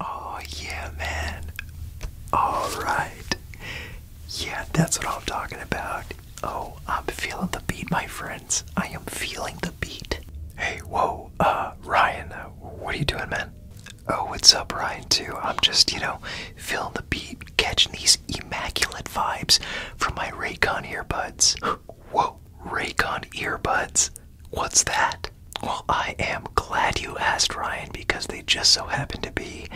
Oh, yeah, man. All right. Yeah, that's what I'm talking about. Oh, I'm feeling the beat, my friends. I am feeling the beat. Hey, whoa, uh, Ryan, uh, what are you doing, man? Oh, what's up, Ryan, too? I'm just, you know, feeling the beat, catching these immaculate vibes from my Raycon earbuds. Whoa, Raycon earbuds? What's that? Well, I am glad you asked, Ryan, because they just so happen to be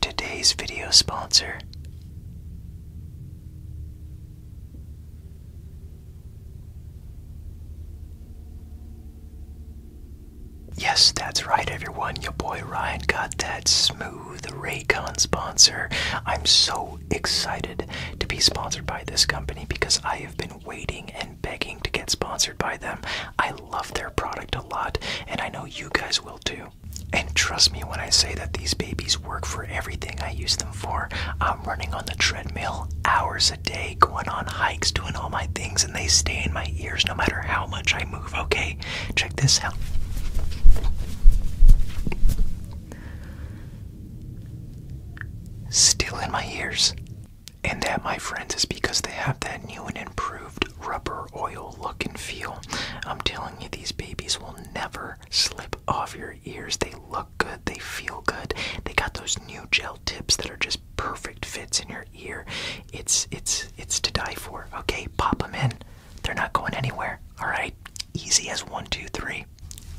today's video sponsor. Yes, that's right, everyone. Your boy Ryan got that smooth Raycon sponsor. I'm so excited to be sponsored by this company because I have been waiting and begging to get sponsored by them. I love their product a lot, and I know you guys will too. And trust me when I say that these babies work for everything I use them for. I'm running on the treadmill hours a day, going on hikes, doing all my things, and they stay in my ears no matter how much I move, okay? Check this out. Still in my ears. And that, my friends, is because they have that new and improved rubber oil look and feel. I'm telling you, these babies will never slip off your ears. They look good, they feel good. They got those new gel tips that are just perfect fits in your ear. It's it's it's to die for. Okay, pop them in. They're not going anywhere. All right, easy as one, two, three.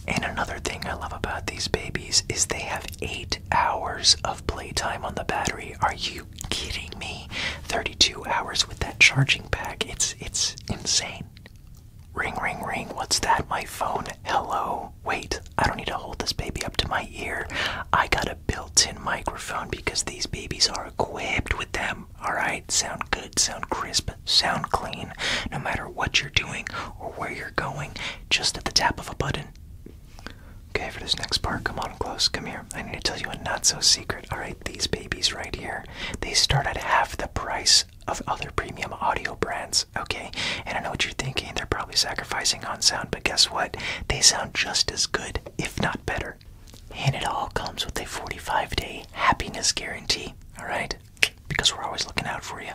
And another thing I love about these babies is they have eight hours of playtime on the battery. Are you kidding me? 32 hours with that charging pack. It's it's insane. Ring ring ring. What's that? My phone. Hello. Wait. I don't need to hold this baby up to my ear. I got a built-in microphone because these babies are equipped with them. All right. Sound good. Sound crisp. Sound clean. No matter what you're doing or where you're going, just at the tap of a button, Okay, for this next part, come on close, come here. I need to tell you a not so secret. Alright, these babies right here, they start at half the price of other premium audio brands. Okay, and I know what you're thinking, they're probably sacrificing on sound, but guess what? They sound just as good, if not better. And it all comes with a 45 day happiness guarantee. Alright? Because we're always looking out for you.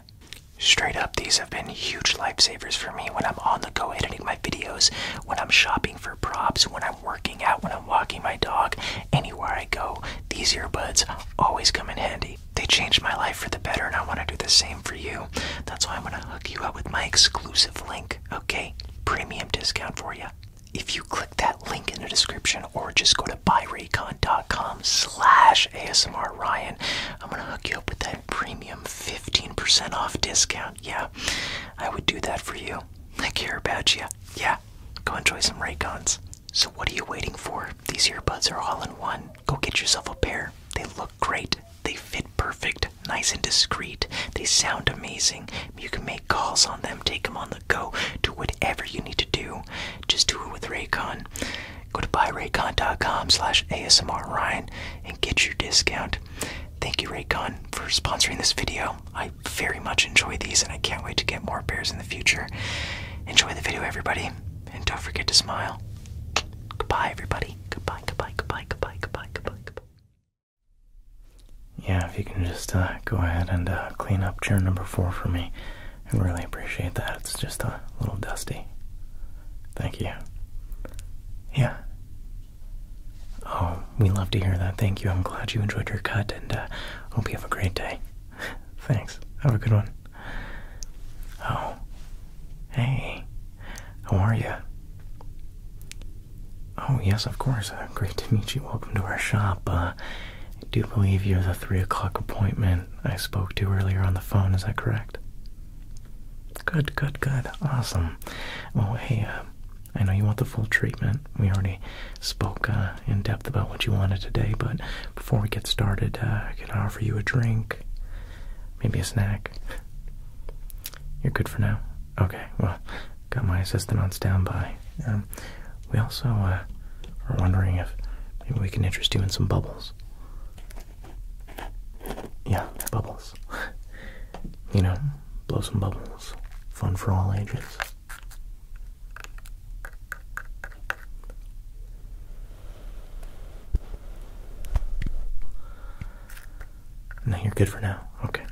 Straight up, these have been huge lifesavers for me when I'm on the go editing my videos, when I'm shopping for props, when I'm working out, when I'm walking my dog, anywhere I go. These earbuds always come in handy. They changed my life for the better, and I want to do the same for you. That's why I'm going to hook you up with my exclusive link, okay? Premium discount for you. If you click that link in the description or just go to buyraycon.com slash ASMR Ryan, I'm going to hook you up with that Premium 15% off discount. Yeah, I would do that for you. I care about you. Yeah, go enjoy some Raycons. So, what are you waiting for? These earbuds are all in one. Go get yourself a pair. They look great. They fit perfect, nice and discreet. They sound amazing. You can make calls on them, take them on the go, do whatever you need to do. Just do it with Raycon. Go to buyraycon.com slash ASMR Ryan and get your discount. Thank you, Raycon, for sponsoring this video. I very much enjoy these and I can't wait to get more bears in the future. Enjoy the video, everybody, and don't forget to smile. Goodbye, everybody. Goodbye, goodbye, goodbye, goodbye, goodbye, goodbye, Yeah, if you can just uh, go ahead and uh, clean up chair number four for me, I really appreciate that. It's just a little dusty. Thank you. Yeah. Oh, we love to hear that. Thank you. I'm glad you enjoyed your cut and uh, hope you have a great day. Thanks. Have a good one. Oh. Hey. How are you? Oh, yes, of course. Uh, great to meet you. Welcome to our shop. Uh, I do believe you're the 3 o'clock appointment I spoke to earlier on the phone. Is that correct? Good, good, good. Awesome. Oh, hey, uh, I know you want the full treatment. We already spoke uh, in depth about what you wanted today, but before we get started, can uh, I offer you a drink, maybe a snack. You're good for now? Okay, well, got my assistant on standby. Um, we also are wondering if maybe we can interest you in some bubbles. Yeah, bubbles. you know, blow some bubbles. Fun for all ages. Now you're good for now. Okay.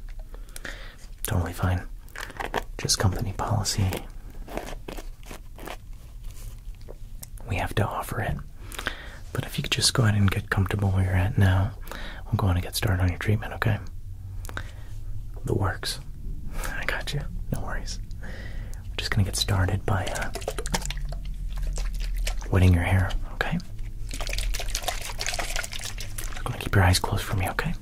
Totally fine. Just company policy. We have to offer it. But if you could just go ahead and get comfortable where you're at now, we'll go on and get started on your treatment, okay? The works. I got you. No worries. We're just gonna get started by uh, wetting your hair, okay? You're gonna keep your eyes closed for me, okay?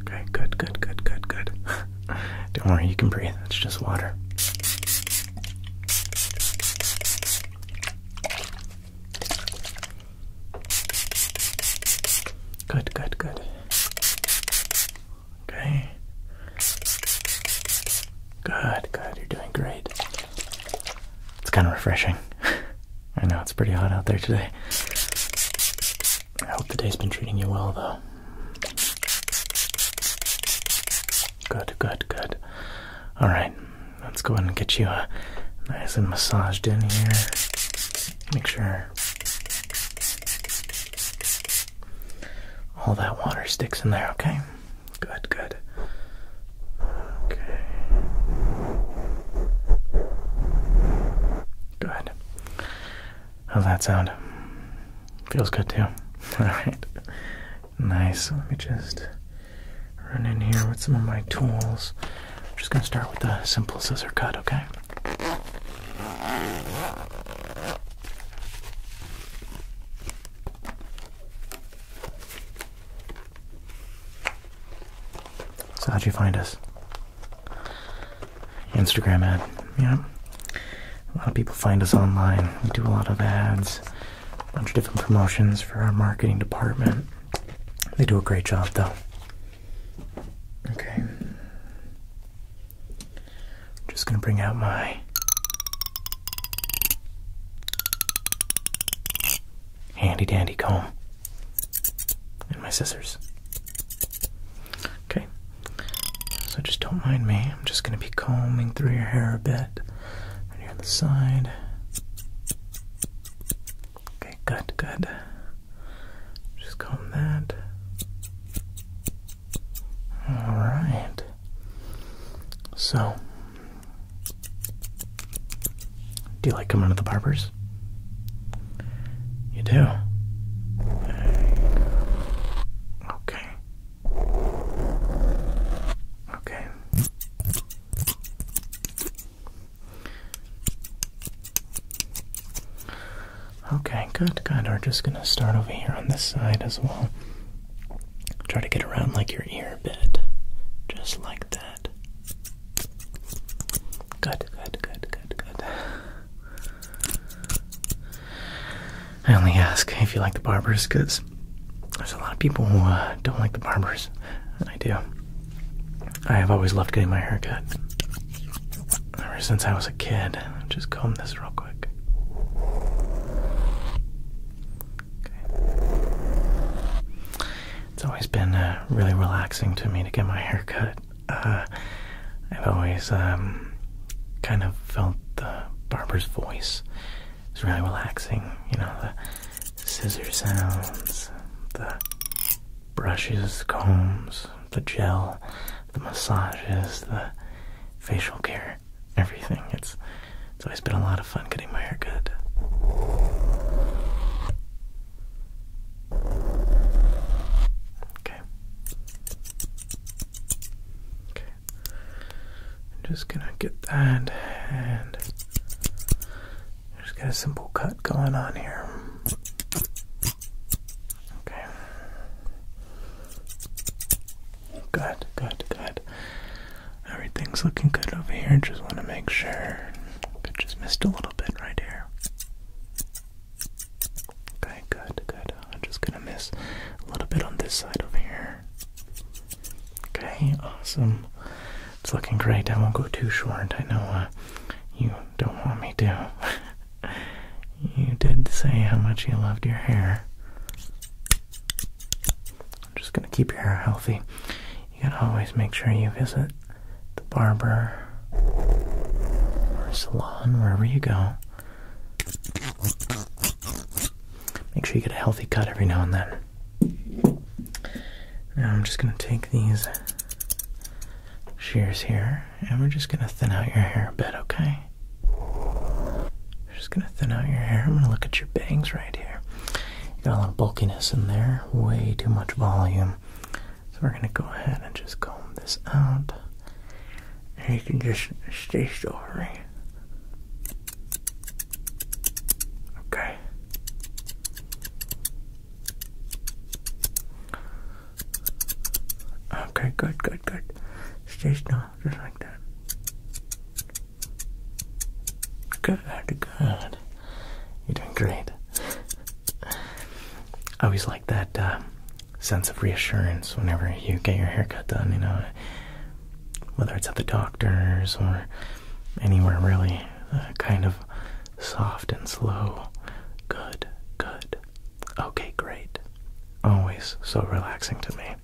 Okay, good, good, good, good, good. Don't worry, you can breathe. It's just water. Good, good, good. Okay. Good, good. You're doing great. It's kind of refreshing. I know it's pretty hot out there today. I hope the day's been treating you well, though. Good, good, good. All right, let's go ahead and get you uh, nice and massaged in here. Make sure all that water sticks in there, okay? Good, good. Okay. Good. How's that sound? Feels good too. Alright. Nice. Let me just run in here with some of my tools. I'm just going to start with the simple scissor cut, okay? So how'd you find us? Instagram ad. Yeah. A lot of people find us online. We do a lot of ads, a bunch of different promotions for our marketing department. They do a great job though. Okay. just gonna bring out my handy dandy comb and my scissors. Okay, so just don't mind me. I'm just going to be combing through your hair a bit here on the side. Okay, good, good. Just comb that. All right. So, do you like coming to the barbers? You do? Okay. Okay. Okay, good, good. We're just gonna start over here on this side as well. Try to get around like your ear a bit. Just like that. Good, good, good, good, good. I only ask if you like the barbers because there's a lot of people who uh, don't like the barbers, and I do. I have always loved getting my hair cut. Ever since I was a kid, just comb this real quick. Okay. It's always been uh, really relaxing to me to get my hair cut. Uh, I've always um, kind of felt the barber's voice. It's really relaxing, you know, the scissors sounds, the brushes, combs, the gel, the massages, the facial care, everything. It's it's always been a lot of fun getting my hair cut. Okay. Okay. I'm just gonna get that and just get a simple cut going on here. Okay. Good, good, good. Everything's looking good over here. Just want to make sure. Could just missed a little bit right here. Okay, good, good. I'm just gonna miss a little bit on this side over here. Okay, awesome. It's looking great. I won't go too short. I know uh, you don't want me to. you did say how much you loved your hair. I'm just gonna keep your hair healthy you gotta always make sure you visit the barber or salon wherever you go. Make sure you get a healthy cut every now and then. Now I'm just going to take these shears here and we're just going to thin out your hair a bit, okay? just going to thin out your hair. I'm going to look at your bangs right here. You got a lot of bulkiness in there, way too much volume. So we're gonna go ahead and just comb this out. And you can just stay still for me. Okay. Okay, good, good, good. Stay still, just like that. Good, good. You're doing great. I always like that uh, sense of reassurance whenever you get your haircut done, you know, whether it's at the doctor's or anywhere really, uh, kind of soft and slow. Good, good. Okay, great. Always so relaxing to me.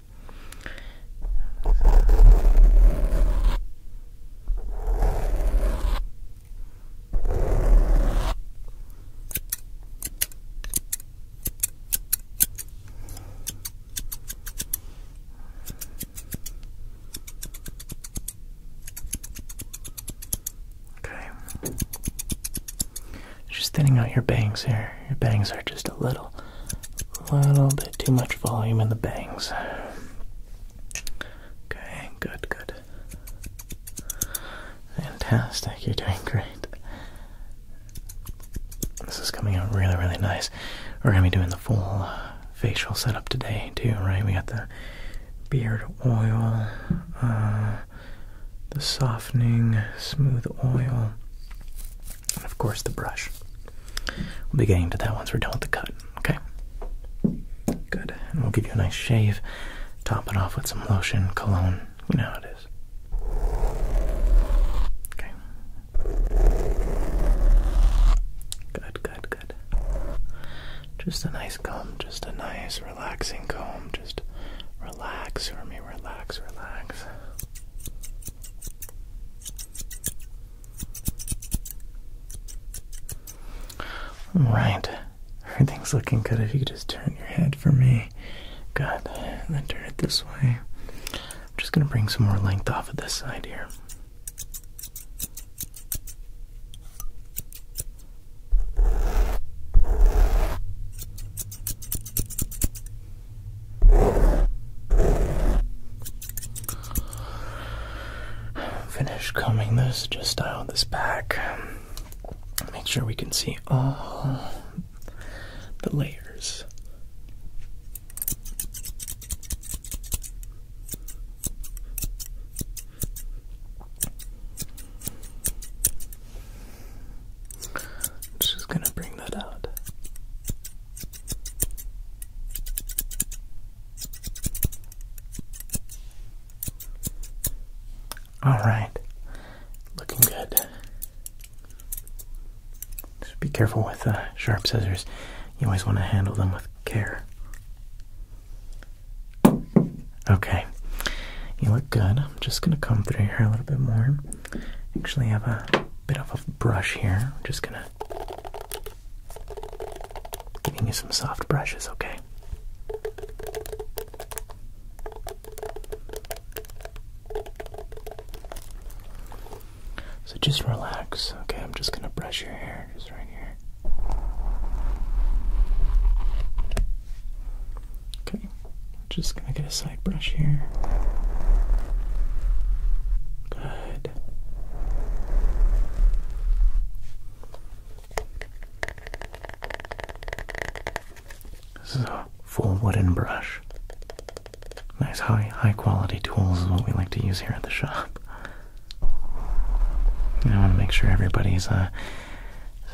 Okay. Just thinning out your bangs here. Your bangs are just a little, little bit too much volume in the bangs. Okay, good, good. Fantastic, you're doing great. This is coming out really, really nice. We're gonna be doing the full uh, facial setup today, too, right? We got the beard oil, uh, the softening, smooth oil, and of course the brush. We'll be getting to that once we're done with the cut okay? Good. And we'll give you a nice shave. Top it off with some lotion, cologne. You know how it is. Okay. Good, good, good. Just a nice comb, just a nice relaxing comb. Just relax for me, relax, relax. All right. Everything's looking good. If you could just turn your head for me. Good. then turn it this way. I'm just going to bring some more length off of this side here. Finish combing this, just style this back make sure we can see all the layers. i just going to bring that out. All right, looking good. Just be careful with uh, sharp scissors. You always want to handle them with care. Okay, you look good. I'm just gonna come through here a little bit more. Actually, I have a bit of a brush here. I'm just gonna giving you some soft brushes. Okay. So just relax, okay? I'm just gonna brush your hair just right here. Okay, just gonna get a side brush here. Good. This is a full wooden brush. Nice high high quality tools is what we like to use here at the shop. I want to make sure everybody's uh,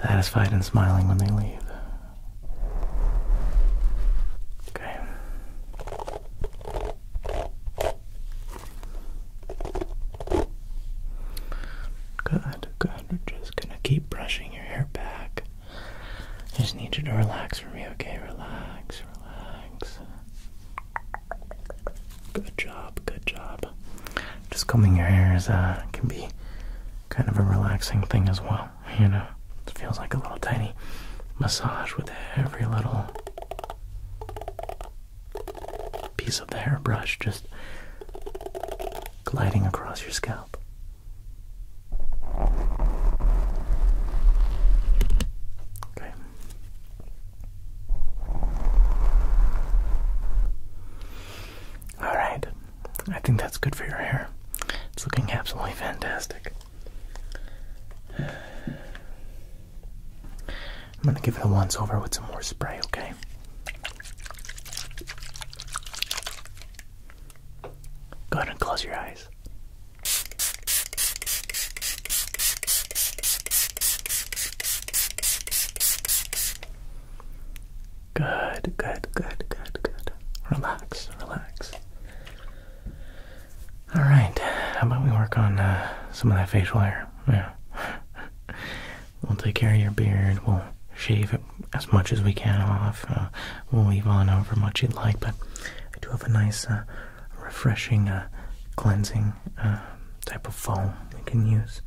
satisfied and smiling when they leave. Okay. Good, good. We're just gonna keep brushing your hair back. I just need you to relax for me, okay? Relax, relax. Good job, good job. Just combing your hair is, uh, can be kind of a relaxing thing as well, you know? It feels like a little tiny massage with every little piece of the hairbrush just gliding across your scalp. Okay. All right. I think that's good for your hair. It's looking absolutely fantastic. I'm gonna give it a once over with some more spray, okay? Go ahead and close your eyes. Good, good, good, good, good. Relax, relax. All right, how about we work on uh, some of that facial hair? Yeah. We'll take care of your beard. We'll shave it as much as we can off. Uh, we'll leave on however much you'd like, but I do have a nice, uh, refreshing, uh, cleansing type of foam you can use.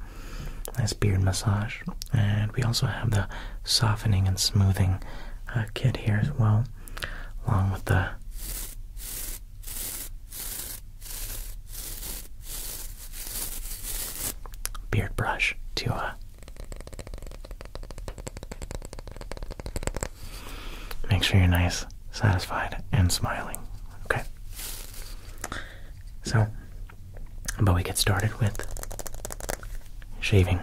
Nice beard massage. And we also have the softening and smoothing kit here as well, along with the beard brush to uh, make sure you're nice, satisfied, and smiling. Okay. So, but we get started with shaving.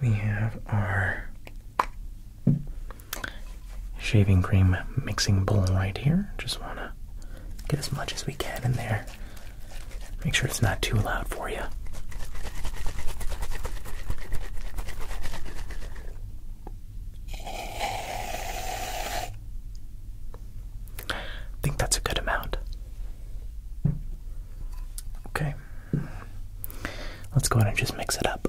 We have our shaving cream mixing bowl right here. Just want to get as much as we can in there. Make sure it's not too loud for you. I think that's a good amount. Okay. Let's go ahead and just mix it up.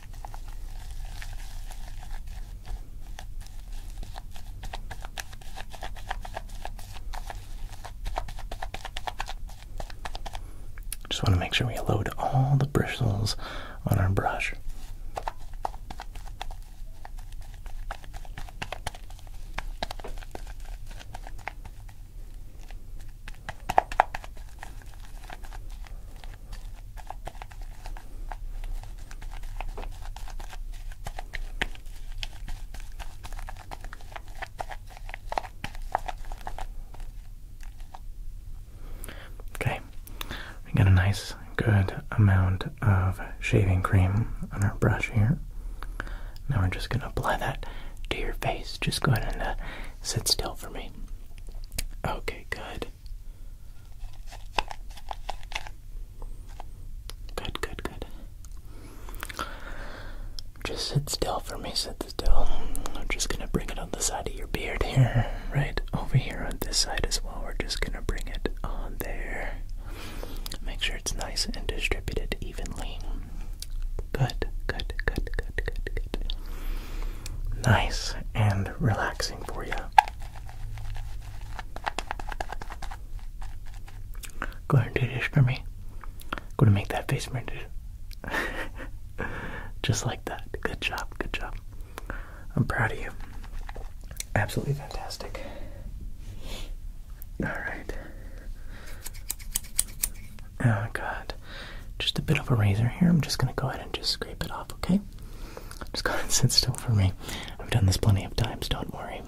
Just want to make sure we load all the bristles on our brush. Okay, we got a nice good amount of shaving cream on our brush here. Now we're just going to apply that to your face. Just go ahead and uh, sit still for me. Okay, good. Good, good, good. Just sit still for me, sit still. I'm just gonna bring it on the side of your beard here, right over here on this side as well. We're just gonna bring it on there. Make sure it's nice and distributed evenly. Good, good, good, good, good, good. Nice and relaxing for you. Go ahead and do this for me. I'm gonna make that face printed. Just like that. Good job, good job. I'm proud of you. Absolutely fantastic. Alright. Oh god. Just a bit of a razor here. I'm just gonna go ahead and just scrape it off, okay? Just go and sit still for me. I've done this plenty of times, don't worry.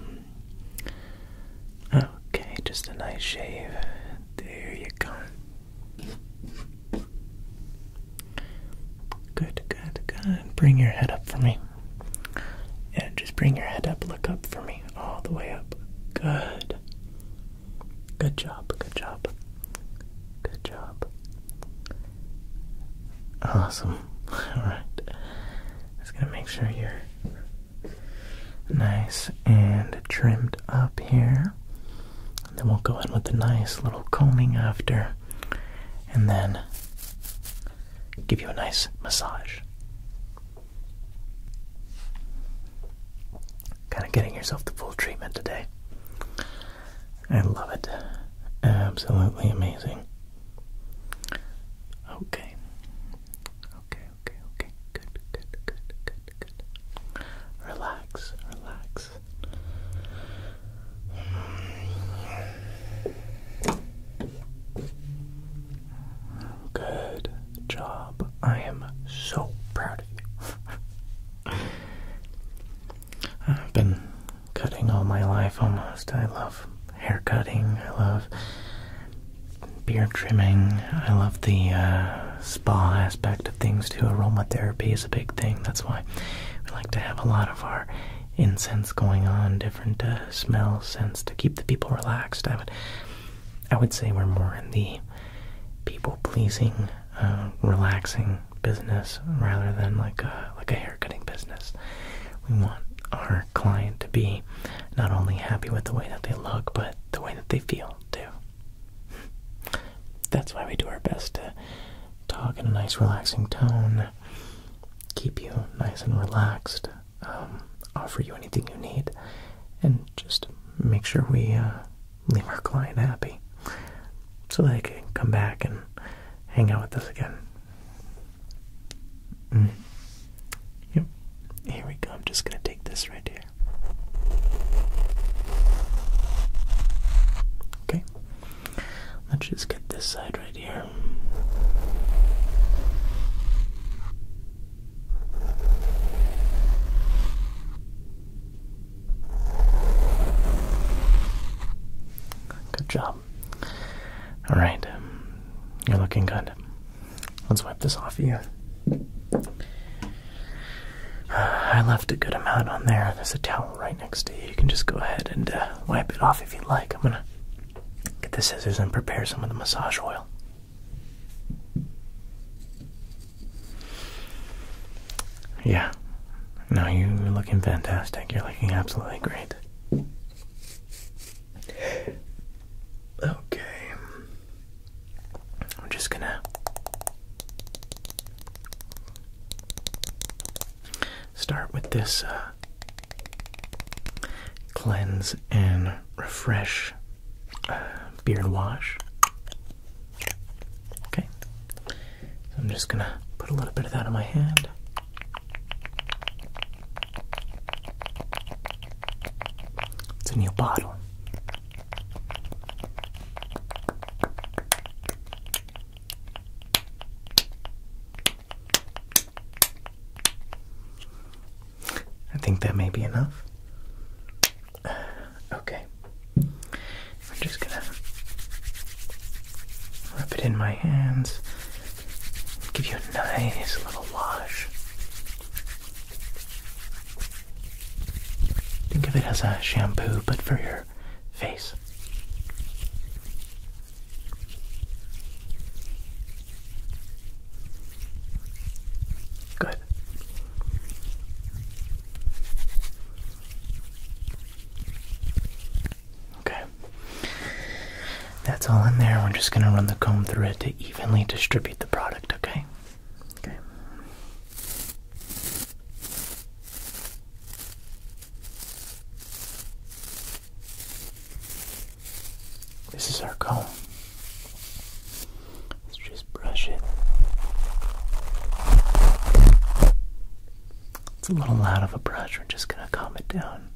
Okay, just a nice shave. There you go. Good, good, good. Bring your head up for me. and just bring your head up. Look up for me. All the way up. Good. Good job, good job. Good job. Awesome. Alright. Just gonna make sure you're nice and trimmed up here. then we'll go in with a nice little combing after. And then give you a nice massage. Kind of getting yourself the full treatment today. I love it. Absolutely amazing. Okay. Okay, okay, okay. Good, good, good, good, good. Relax, relax. Good job. I am so proud of you. I've been cutting all my life almost. I love hair cutting, I love beard trimming, I love the uh, spa aspect of things too. Aromatherapy is a big thing, that's why we like to have a lot of our incense going on, different uh, smell scents to keep the people relaxed. I would, I would say we're more in the people pleasing, uh, relaxing business rather than like a like a haircutting business. We want our client to be not only happy with the way that they look, but the way that they feel too. That's why we do our best to talk in a nice, relaxing tone, keep you nice and relaxed, um, offer you anything you need, and just make sure we uh, leave our client happy so they can come back and hang out with us again. Mm. Yep. Here we go. I'm just going to take this right here. Okay. Let's just get this side right here. Good job. All right. You're looking good. Let's wipe this off of you. I left a good amount on there. There's a towel right next to you. You can just go ahead and uh, wipe it off if you like. I'm going to get the scissors and prepare some of the massage oil. Yeah, no, you're looking fantastic. You're looking absolutely great. Okay. I'm just gonna start with this uh, cleanse and refresh uh, beard wash. Okay. So I'm just gonna put a little bit of that on my hand. It's a new bottle. I think that may be enough. Okay. I'm just gonna rub it in my hands, give you a nice little wash. Think of it as a shampoo, but for your face. Good. Okay. That's all in there. We're just going to run the comb through it to evenly distribute the product, okay? Okay. This is our comb. Let's just brush it. It's a little loud of a brush. We're just going to calm it down.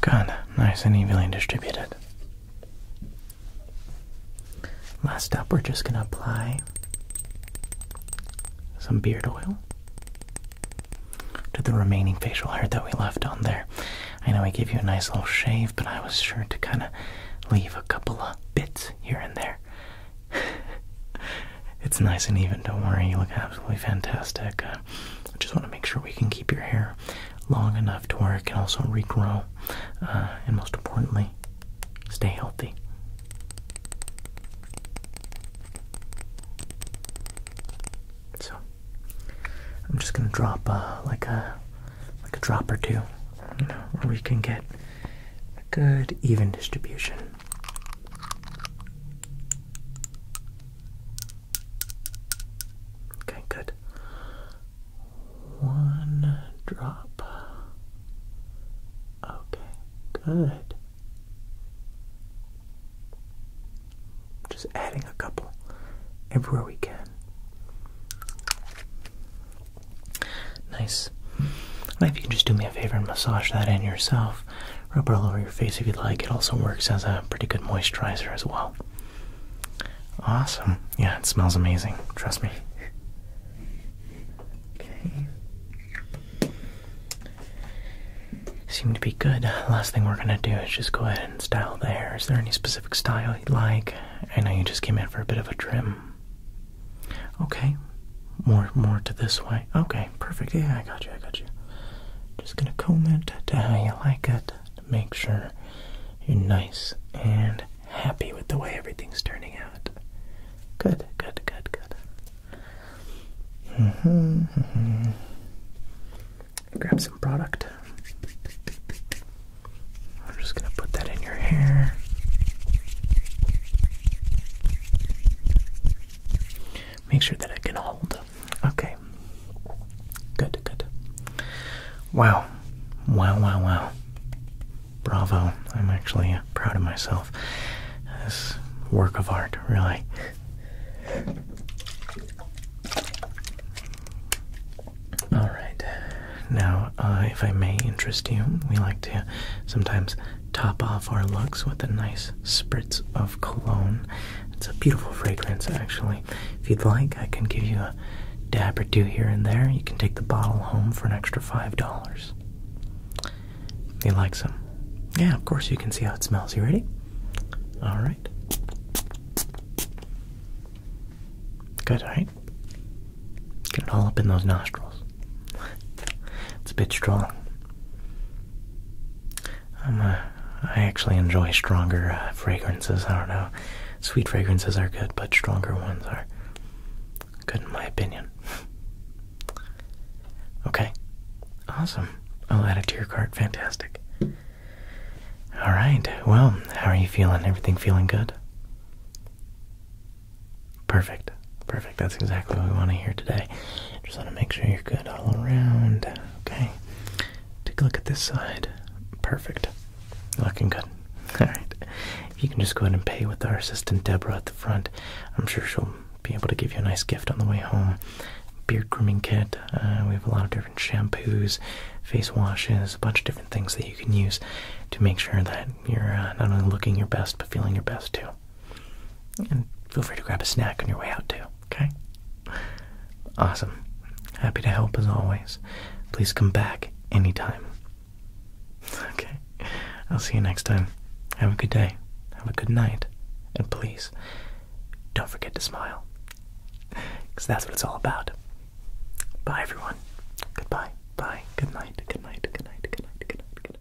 Good, nice and evenly distributed. Last up, we're just going to apply some beard oil to the remaining facial hair that we left on there. I know I gave you a nice little shave, but I was sure to kind of leave a couple of bits here and there. it's nice and even, don't worry, you look absolutely fantastic. Uh, I just want to make sure we can keep your hair long enough to where it can also regrow, uh, and most importantly, stay healthy. So, I'm just gonna drop uh, like a like a drop or two where we can get a good even distribution. Okay, good. One drop. Okay, good. Just adding a couple everywhere we can. Nice. Now, if you can just do me a favor and massage that in yourself, rub it all over your face if you'd like. It also works as a pretty good moisturizer as well. Awesome. Yeah, it smells amazing. Trust me. Okay. Seem to be good. Last thing we're gonna do is just go ahead and style the hair. Is there any specific style you'd like? I know you just came in for a bit of a trim. Okay. More more to this way. Okay, perfect. Yeah, I got you, I got you. Just gonna comb it to how you like it make sure you're nice and happy with the way everything's turning out. Good, good, good, good. Mm -hmm. Grab some product. I'm just going to put that in your hair. Make sure that it can hold. Okay. Good, good. Wow. Wow, wow, wow. Bravo. I'm actually proud of myself. This work of art, really. All right. Now, uh, if I may interest you, we like to sometimes top off our looks with a nice spritz of cologne. It's a beautiful fragrance, actually. If you'd like, I can give you a dab or two here and there. You can take the bottle home for an extra $5. He like some? Yeah, of course you can see how it smells. You ready? All right. Good, right? Get it all up in those nostrils. It's a bit strong. Um, uh, I actually enjoy stronger uh, fragrances. I don't know. Sweet fragrances are good, but stronger ones are good in my opinion. okay. Awesome. I'll add it to your cart. Fantastic. All right. Well, how are you feeling? Everything feeling good? Perfect. Perfect. That's exactly what we want to hear today. Just want to make sure you're good all around. Okay. Take a look at this side. Perfect. Looking good. Alright. If you can just go ahead and pay with our assistant Deborah at the front, I'm sure she'll be able to give you a nice gift on the way home. Beard grooming kit. Uh, we have a lot of different shampoos, face washes, a bunch of different different things that you can use to make sure that you're uh, not only looking your best but feeling your best too. And feel free to grab a snack on your way out too, okay? Awesome. Happy to help as always. Please come back anytime. Okay. I'll see you next time. Have a good day. Have a good night. And please, don't forget to smile. Because that's what it's all about. Bye, everyone. Goodbye. Bye. Good night. Good night. Good night. Good night. Good night. Good night. Good night.